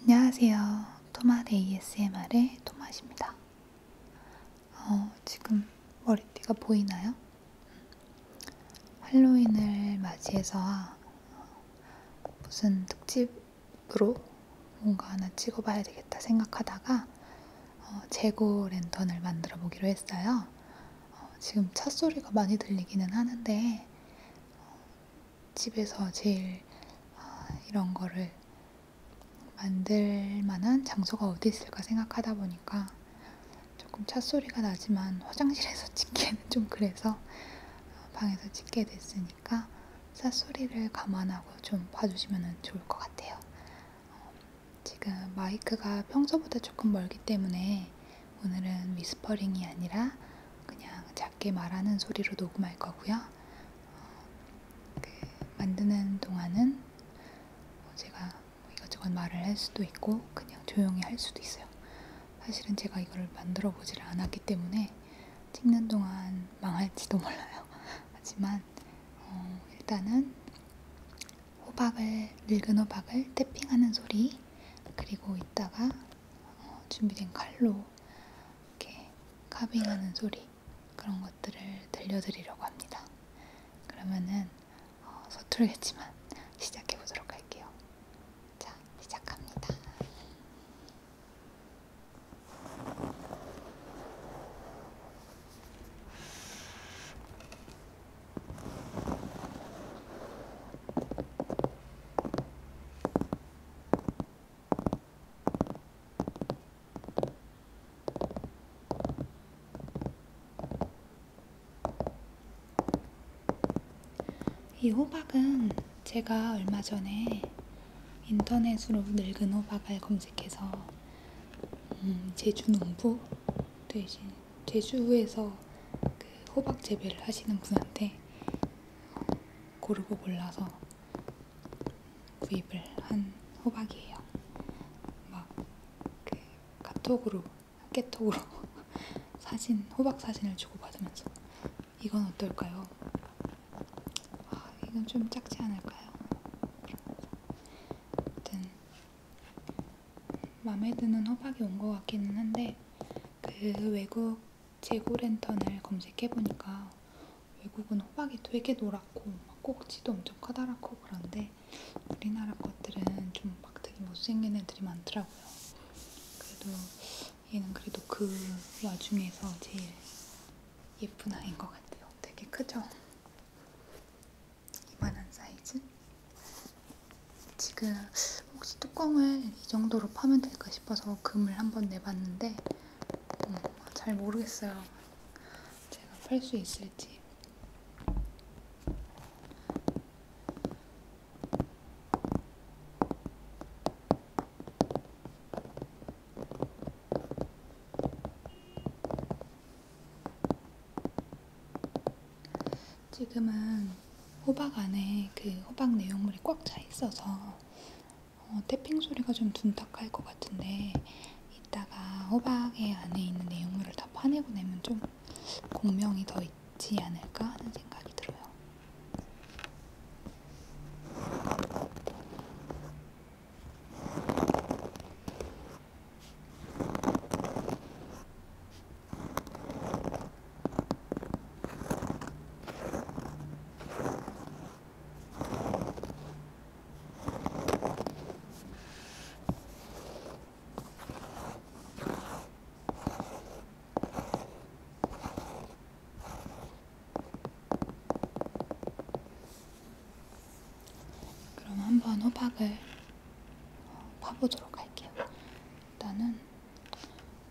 안녕하세요. 토맛 ASMR의 토맛입니다. 어, 지금 머리띠가 보이나요? 할로윈을 맞이해서 어, 무슨 특집으로 뭔가 하나 찍어봐야 되겠다 생각하다가 어, 재고 랜턴을 만들어 보기로 했어요. 어, 지금 차 소리가 많이 들리기는 하는데 어, 집에서 제일 어, 이런 거를 만들 만한 장소가 어디 있을까 생각하다 보니까 조금 찻소리가 나지만 화장실에서 찍기에는 좀 그래서 어, 방에서 찍게 됐으니까 찻소리를 감안하고 좀 봐주시면 좋을 것 같아요. 어, 지금 마이크가 평소보다 조금 멀기 때문에 오늘은 위스퍼링이 아니라 그냥 작게 말하는 소리로 녹음할 거고요. 어, 그 만드는 동안은 제가 이것저것 말을 할 수도 있고 그냥 조용히 할 수도 있어요. 사실은 제가 이걸 만들어 보지를 않았기 때문에 찍는 동안 망할지도 몰라요. 하지만 어, 일단은 호박을 늙은 호박을 탭핑하는 소리 그리고 이따가 어, 준비된 칼로 이렇게 카빙하는 소리 그런 것들을 들려드리려고 합니다. 그러면은 어, 서툴겠지만 시작해 보도록 할게요. 자, 시작합니다. 이 호박은 제가 얼마 전에 인터넷으로 늙은 호박을 검색해서 음, 제주 농부 되신 제주에서 그 호박 재배를 하시는 분한테 고르고 골라서 구입을 한 호박이에요. 막그 카톡으로, 깨톡으로 사진, 호박 사진을 주고받으면서 이건 어떨까요? 아, 이건 좀 작지 않을까요? 아무튼 마음에 드는 호박이 온 것 같기는 한데 그 외국 재고 랜턴을 검색해보니까 외국은 호박이 되게 노랗고 막 꼭지도 엄청 커다랗고 그런데 우리나라 것들은 좀 막 되게 못생긴 애들이 많더라고요. 그래도 얘는 그래도 그 와중에서 제일 예쁜 아이인 것 같아요. 되게 크죠? 이만한 사이즈? 지금 혹시 뚜껑을 이 정도로 파면 될까 싶어서 금을 한번 내봤는데 음, 잘 모르겠어요. 제가 팔 수 있을지. 지금은 호박 안에 그 호박 내용물이 꽉 차 있어서 어, 태핑 소리가 좀 둔탁할 것 같은데 이따가 호박의 안에 있는 내용물을 다 파내고 내면 좀 공명이 더 있지 않을까 하는 생각이 들어요. 그럼 한번 호박을 어, 파보도록 할게요. 일단은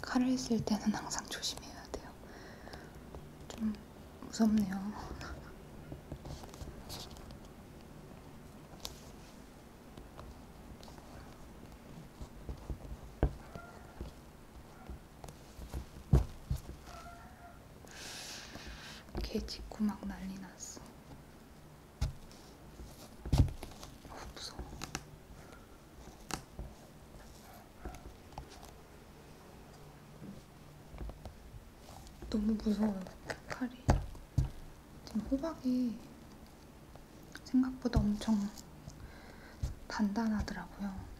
칼을 쓸 때는 항상 조심해야 돼요. 좀 무섭네요. 개 짖고 막 난리 났어. 어, 무서워. 너무 무서워요. 칼이. 지금 호박이 생각보다 엄청 단단하더라고요.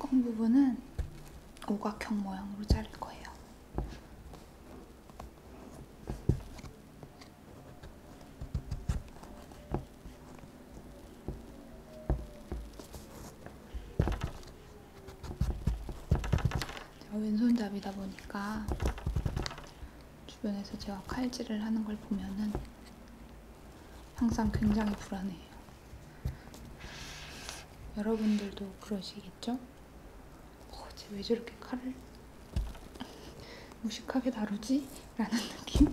뚜껑 부분은 오각형 모양으로 자를 거예요. 제가 왼손잡이다 보니까 주변에서 제가 칼질을 하는 걸 보면은 항상 굉장히 불안해요. 여러분들도 그러시겠죠? 어, 쟤왜 저렇게 칼을 무식하게 다루지? 라는 느낌?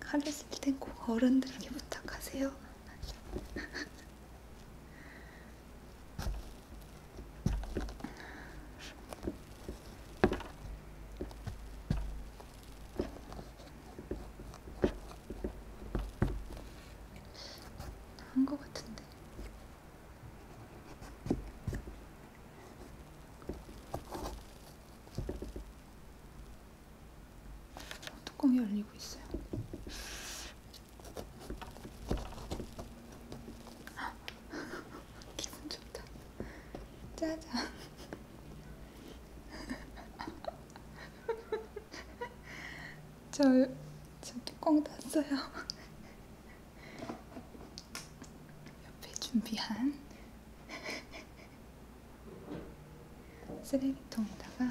칼을 쓸땐꼭 어른들에게 부탁하세요. 한것 같은데. 뚜껑이 열리고 있어요. 기분 좋다. 짜잔. 저, 저 뚜껑 땄어요. 옆에 준비한 쓰레기통에다가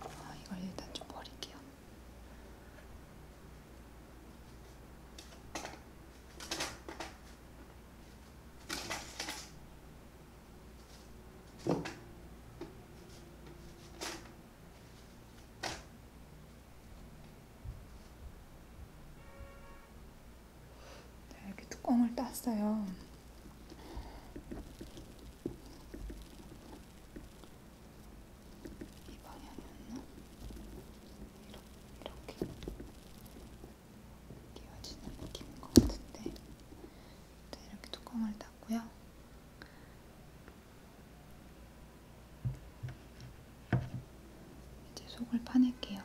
아, 이걸 일단 좀 버릴게요. 네, 이렇게 뚜껑을 땄어요. 이 방향이었나? 이렇게, 이렇게 끼워지는 느낌인 것 같은데 네, 이렇게 뚜껑을 땄고요. 이제 속을 파낼게요.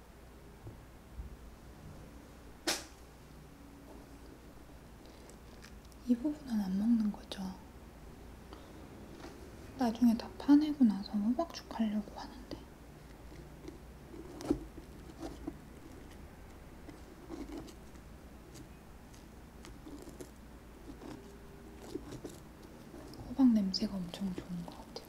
이 부분은 안 먹는 거죠. 나중에 다 파내고 나서 호박죽 하려고 하는데. 호박 냄새가 엄청 좋은 것 같아요.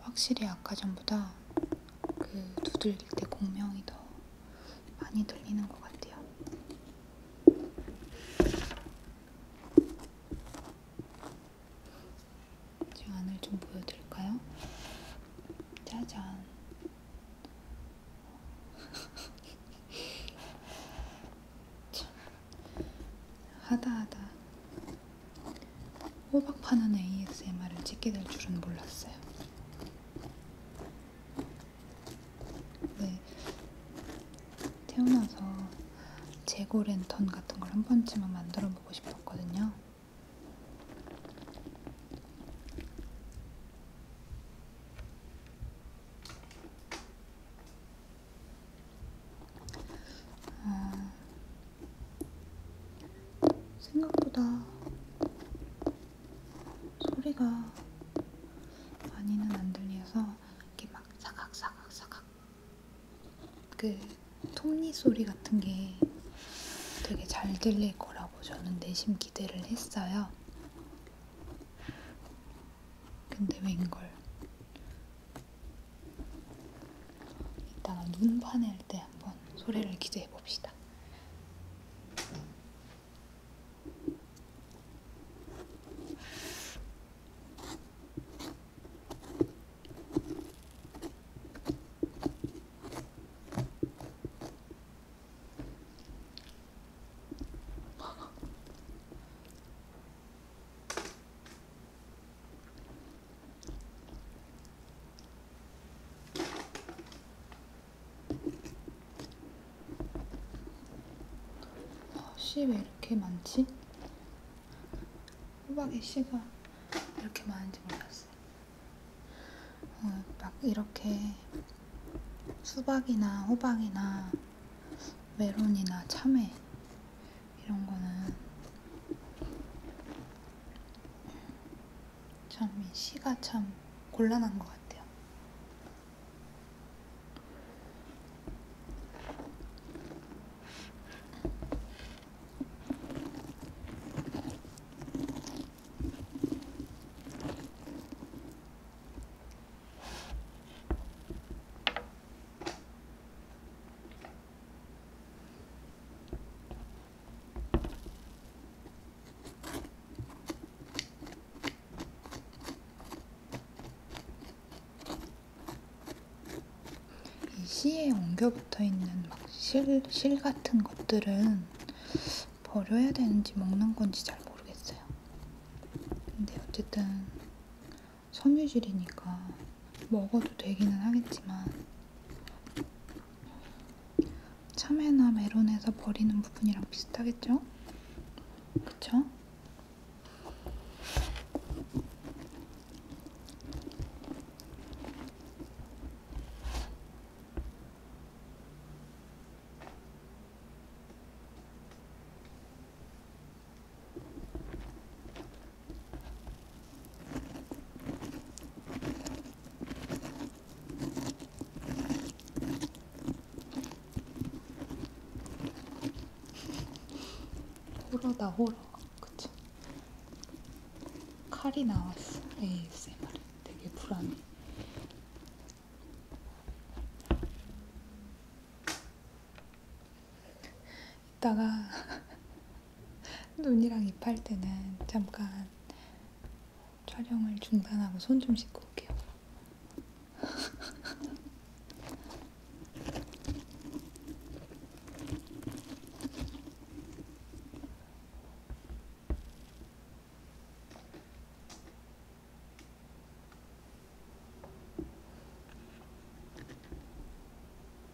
확실히 아까 전보다 그 두들길 때 공명이 더 많이 들리는 것 같아요. 제 안을 좀 보여드릴까요? 짜잔. 참 하다하다 호박 파는 ASMR을 찍게 될 줄은 몰랐어요. 네, 태어나서 재고 랜턴 같은 걸 한 번쯤은 만들어 보고 싶었거든요. 어, 생각보다 소리가 많이는 안 들려서 이렇게 막 사각사각사각 사각 그 톱니 소리 같은 게 되게 잘 들릴 거라고 저는 내심 기대를 했어요. 근데 웬걸 이따가 눈 파낼 때 한번 소리를 기재해 봅시다. 씨왜 이렇게 많지? 호박에 씨가 이렇게 많은지 몰랐어요. 어, 막 이렇게 수박이나 호박이나 메론이나 참외 이런 거는 참이 시가 참 곤란한 것 같아요. 이 씨에 엉겨 붙어 있는 막 실, 실 같은 것들은 버려야 되는지 먹는 건지 잘 모르겠어요. 근데 어쨌든 섬유질이니까 먹어도 되기는 하겠지만 참외나 메론에서 버리는 부분이랑 비슷하겠죠? 그쵸? 호러다 호러 그치 칼이 나왔어 ASMR 되게 불안해 이따가 눈이랑 입할 때는 잠깐 촬영을 중단하고 손 좀 씻고 올게요.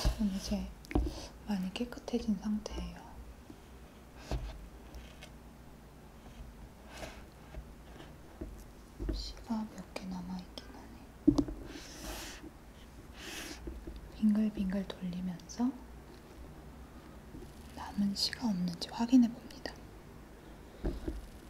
지금 이제 많이 깨끗해진 상태예요. 씨가 몇 개 남아있긴 하네. 빙글빙글 돌리면서 남은 씨가 없는지 확인해 봅니다.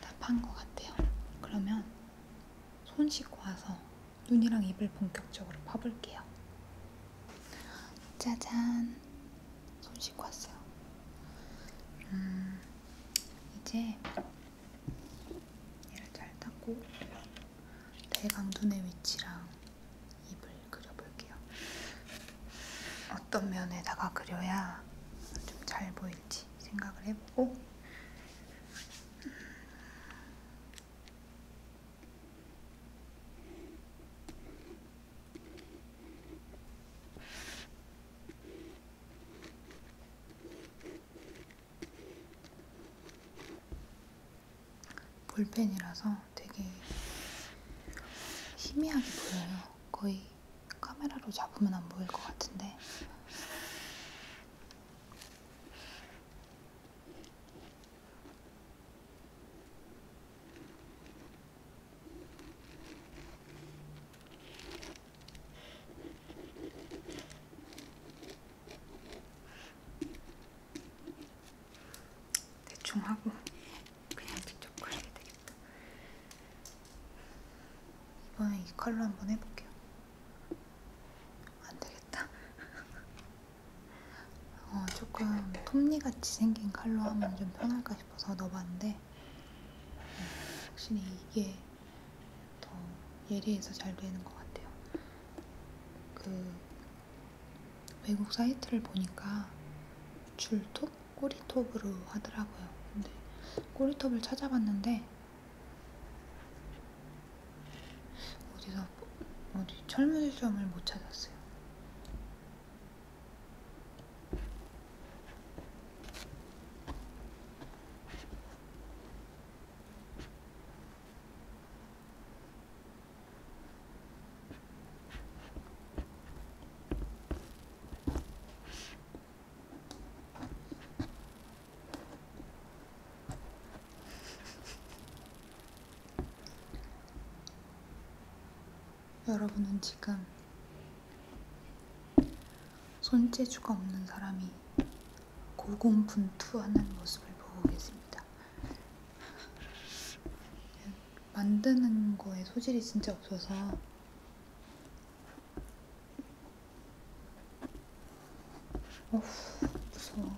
다판것 같아요. 그러면 손 씻고 와서 눈이랑 입을 본격적으로 파볼게요. 짜잔! 손 씻고 왔어요. 음, 이제 얘를 잘 닦고 대강 눈의 위치랑 입을 그려볼게요. 어떤 면에다가 그려야 좀 잘 보일지 생각을 해보고 볼펜이라서 되게 희미하게 보여요. 거의 카메라로 잡으면 안 보일 것 같은데. 대충 하고 그냥 직접 그려야 되겠다. 이번에 이 컬러 한번 해볼게요. 안 되겠다. 어, 조금 톱니같이 생긴 컬러 하면 좀 편할까 싶어서 넣어봤는데 음, 확실히 이게 더 예리해서 잘 되는 것 같아요. 그 외국 사이트를 보니까 줄톱? 꼬리톱으로 하더라고요. 근데 꼬리톱을 찾아봤는데 어디서 어디 철물점을 못 찾았어요. 여러분은 지금 손재주가 없는 사람이 고군분투하는 모습을 보고 계십니다. 만드는 거에 소질이 진짜 없어서 어후, 무서워.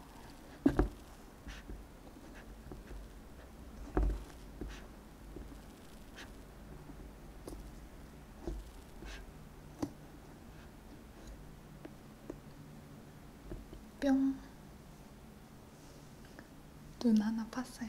뿅. 눈 하나 팠어요.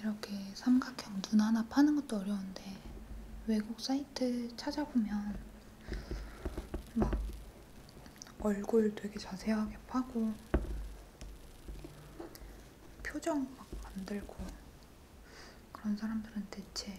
이렇게 삼각형 눈 하나 파는 것도 어려운데 외국 사이트 찾아보면 막 얼굴 되게 자세하게 파고 표정 막 만들고 그런 사람들은 대체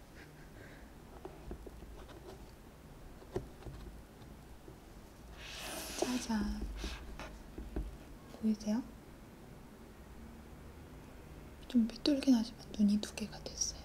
짜잔. 보이세요? 좀 삐뚤긴 하지만 눈이 두 개가 됐어요.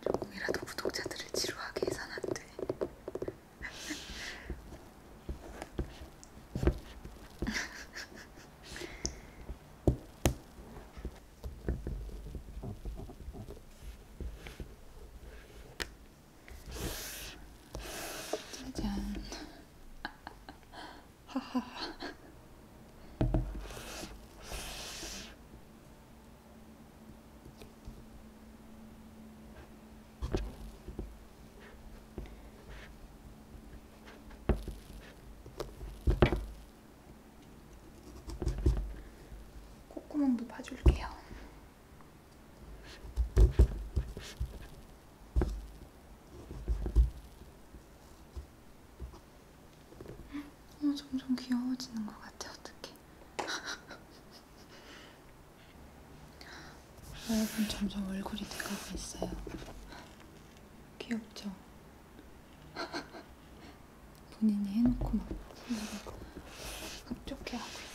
조금이라도 구독자들을 지루하게 해선 안 돼. 짜잔. 하하. 콧구멍도 파줄게요. 어, 점점 귀여워지는 것 같아 어떡해 여러분 점점 얼굴이 돼가고 있어요 귀엽죠? 본인이 해놓고 막 흡족해 하고 있어요.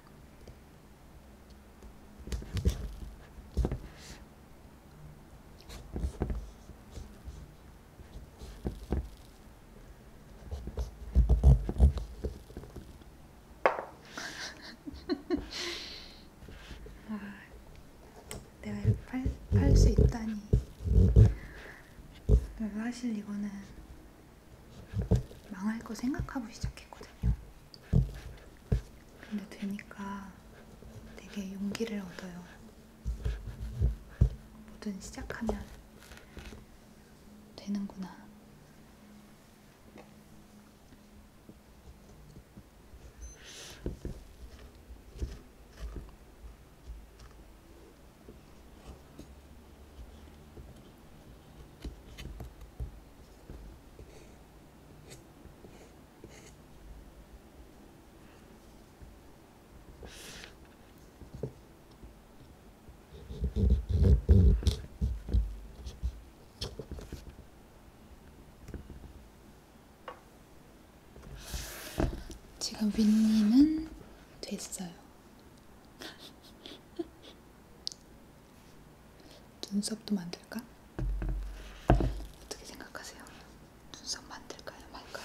와, 아, 내가 팔 수 있다니 사실 이거는 망할 거 생각하고 시작했거든요. 근데 되니까 되게 용기를 얻어요. 뭐든 시작하면 되는구나. 지금 윗님은 됐어요. 눈썹도 만들까? 어떻게 생각하세요? 눈썹 만들까요? 말까요?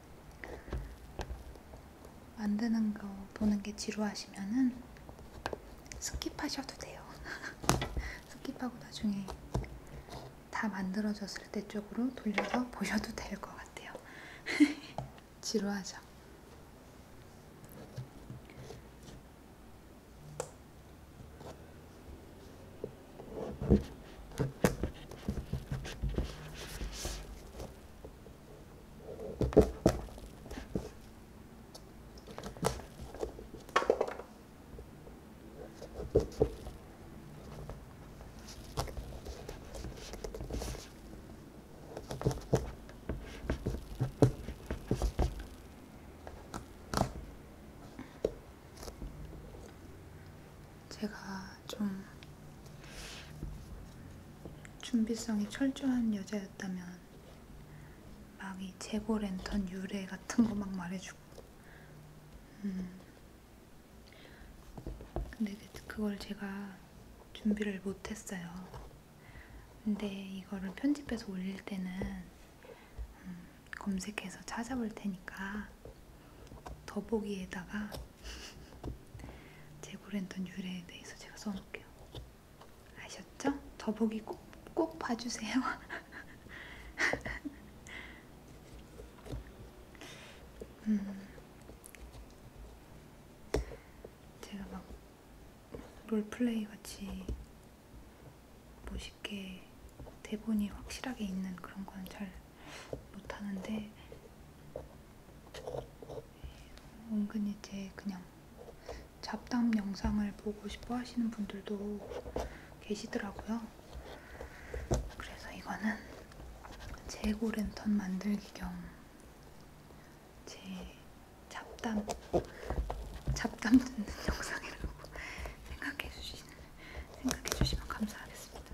만드는 거 보는 게 지루하시면은 스킵하셔도 돼요. 스킵하고 나중에 다 만들어졌을 때 쪽으로 돌려서 보셔도 될 것 같아요. 지루하죠? 제가 좀 준비성이 철저한 여자였다면 막 이 재고 랜턴 유래 같은 거 막 말해주고 음. 근데 그, 그걸 제가 준비를 못했어요. 근데 이거를 편집해서 올릴 때는 음, 검색해서 찾아볼 테니까 더보기에다가 제고랜턴 유래에 대해서 제가 써놓을게요. 아셨죠? 더보기 꼭, 꼭 봐주세요. 음, 제가 막 롤플레이 같이 멋있게 뭐 대본이 확실하게 있는 그런 건 잘 못하는데 은근히 이제 그냥 잡담 영상을 보고 싶어 하시는 분들도 계시더라고요. 그래서 이거는 재고 랜턴 만들기 겸 제 잡담 잡담 듣는 영상이라고 생각해 주시는 생각해 주시면 감사하겠습니다.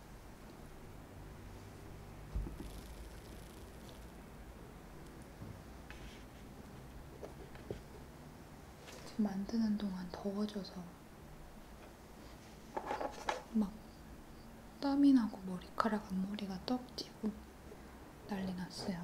지금 만드는 동안 더워져서 막 땀이 나고 머리카락 앞머리가 떡지고 난리 났어요.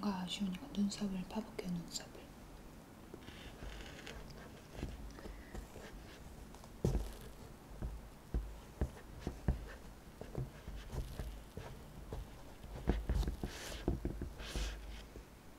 뭔가 아쉬우니까 눈썹을 파볼게요, 눈썹을.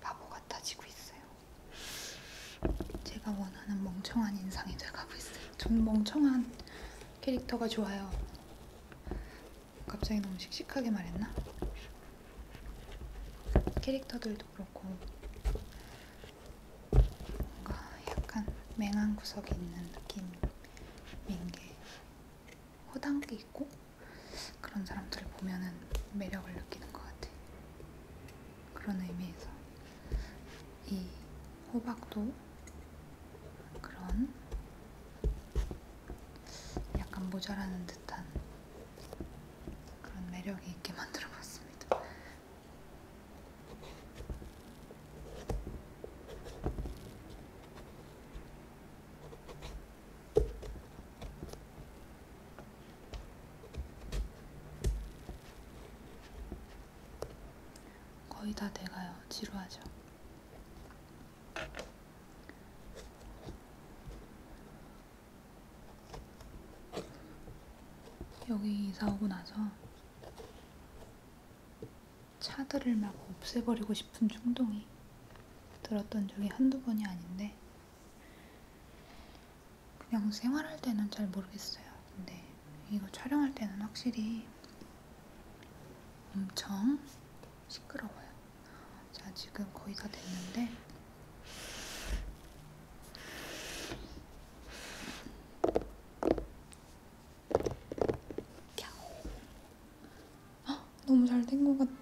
바보 같아지고 있어요. 제가 원하는 멍청한 인상이 돼가고 있어요. 전 멍청한 캐릭터가 좋아요. 갑자기 너무 씩씩하게 말했나? 캐릭터들도 그렇고 뭔가 약간 맹한 구석이 있는 느낌인 게 허당끼 있고 그런 사람들을 보면은 매력을 느끼는 것 같아. 그런 의미에서 이 호박도 그런 약간 모자라는 듯한 그런 매력이 있게 만들어봤습니다. 거의 다 돼가요. 지루하죠. 여기 이사 오고 나서 차들을 막 없애버리고 싶은 충동이 들었던 적이 한두 번이 아닌데 그냥 생활할 때는 잘 모르겠어요. 근데 이거 촬영할 때는 확실히 엄청 시끄러워요. 자, 지금 거의 다 됐는데 아, 너무 잘 된 것 같아.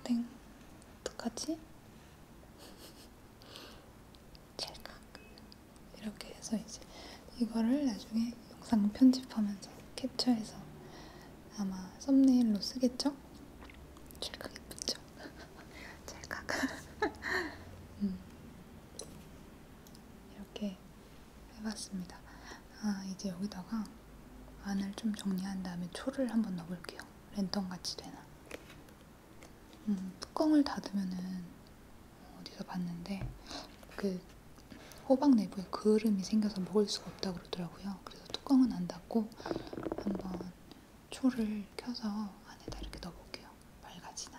어떡하지? 찰칵 이렇게 해서 이제 이거를 나중에 영상 편집하면서 캡처해서 아마 썸네일로 쓰겠죠? 찰칵 예쁘죠? 찰칵 음. 이렇게 해봤습니다. 아 이제 여기다가 안을 좀 정리한 다음에 초를 한번 넣어볼게요. 랜턴같이 되나. 음, 뚜껑을 닫으면은 어디서 봤는데 그 호박 내부에 그름이 생겨서 먹을 수가 없다고 그러더라고요. 그래서 뚜껑은 안 갖고 한번 초를 켜서 안에다 이렇게 넣어볼게요. 밝아지나?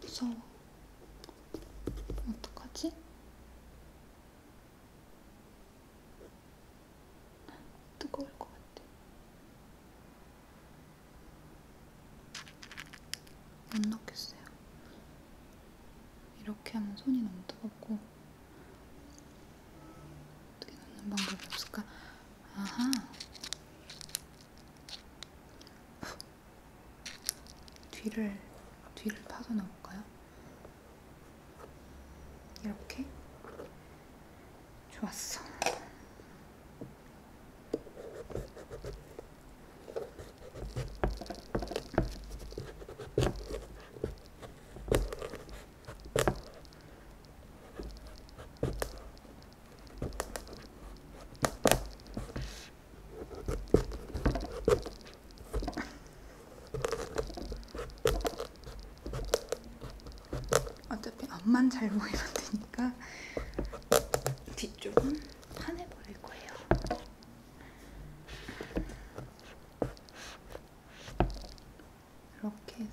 무서워. 어떡하지? 뜨거울 것 같아. 못 넣겠어요. 이렇게 하면 손이 너무 뜨겁고 어떻게 넣는 방법이 없을까? 아하 뒤를 뒤를 파서 넣을까요? 이렇게 좋았어. 어차피 앞만 잘 보이면 되니까 뒤쪽은 파내버릴 거예요. 이렇게 해서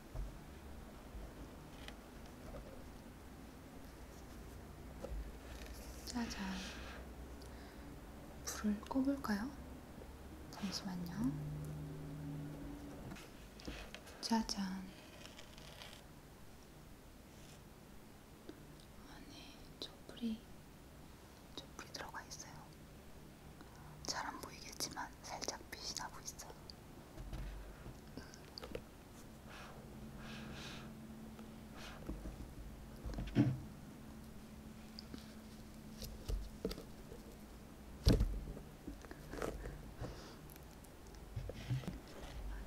짜잔. 불을 꺼볼까요? 잠시만요. 짜잔. 안에 촛불이, 촛불이 들어가 있어요. 잘 안 보이겠지만 살짝 빛이 나고 있어요.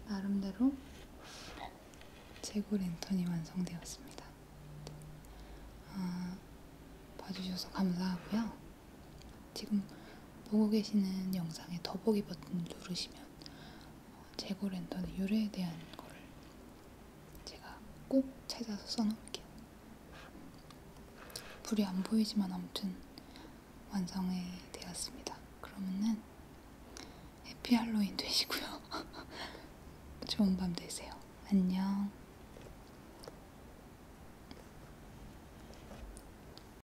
나름대로 재고 랜턴이 완성되었습니다. 아, 봐주셔서 감사하고요. 지금 보고 계시는 영상의 더보기 버튼 누르시면 재고 랜턴의 유래에 대한 거를 제가 꼭 찾아서 써놓을게요. 불이 안 보이지만 아무튼 완성이 되었습니다. 그러면은 해피 할로윈 되시고요. 좋은 밤 되세요. 안녕.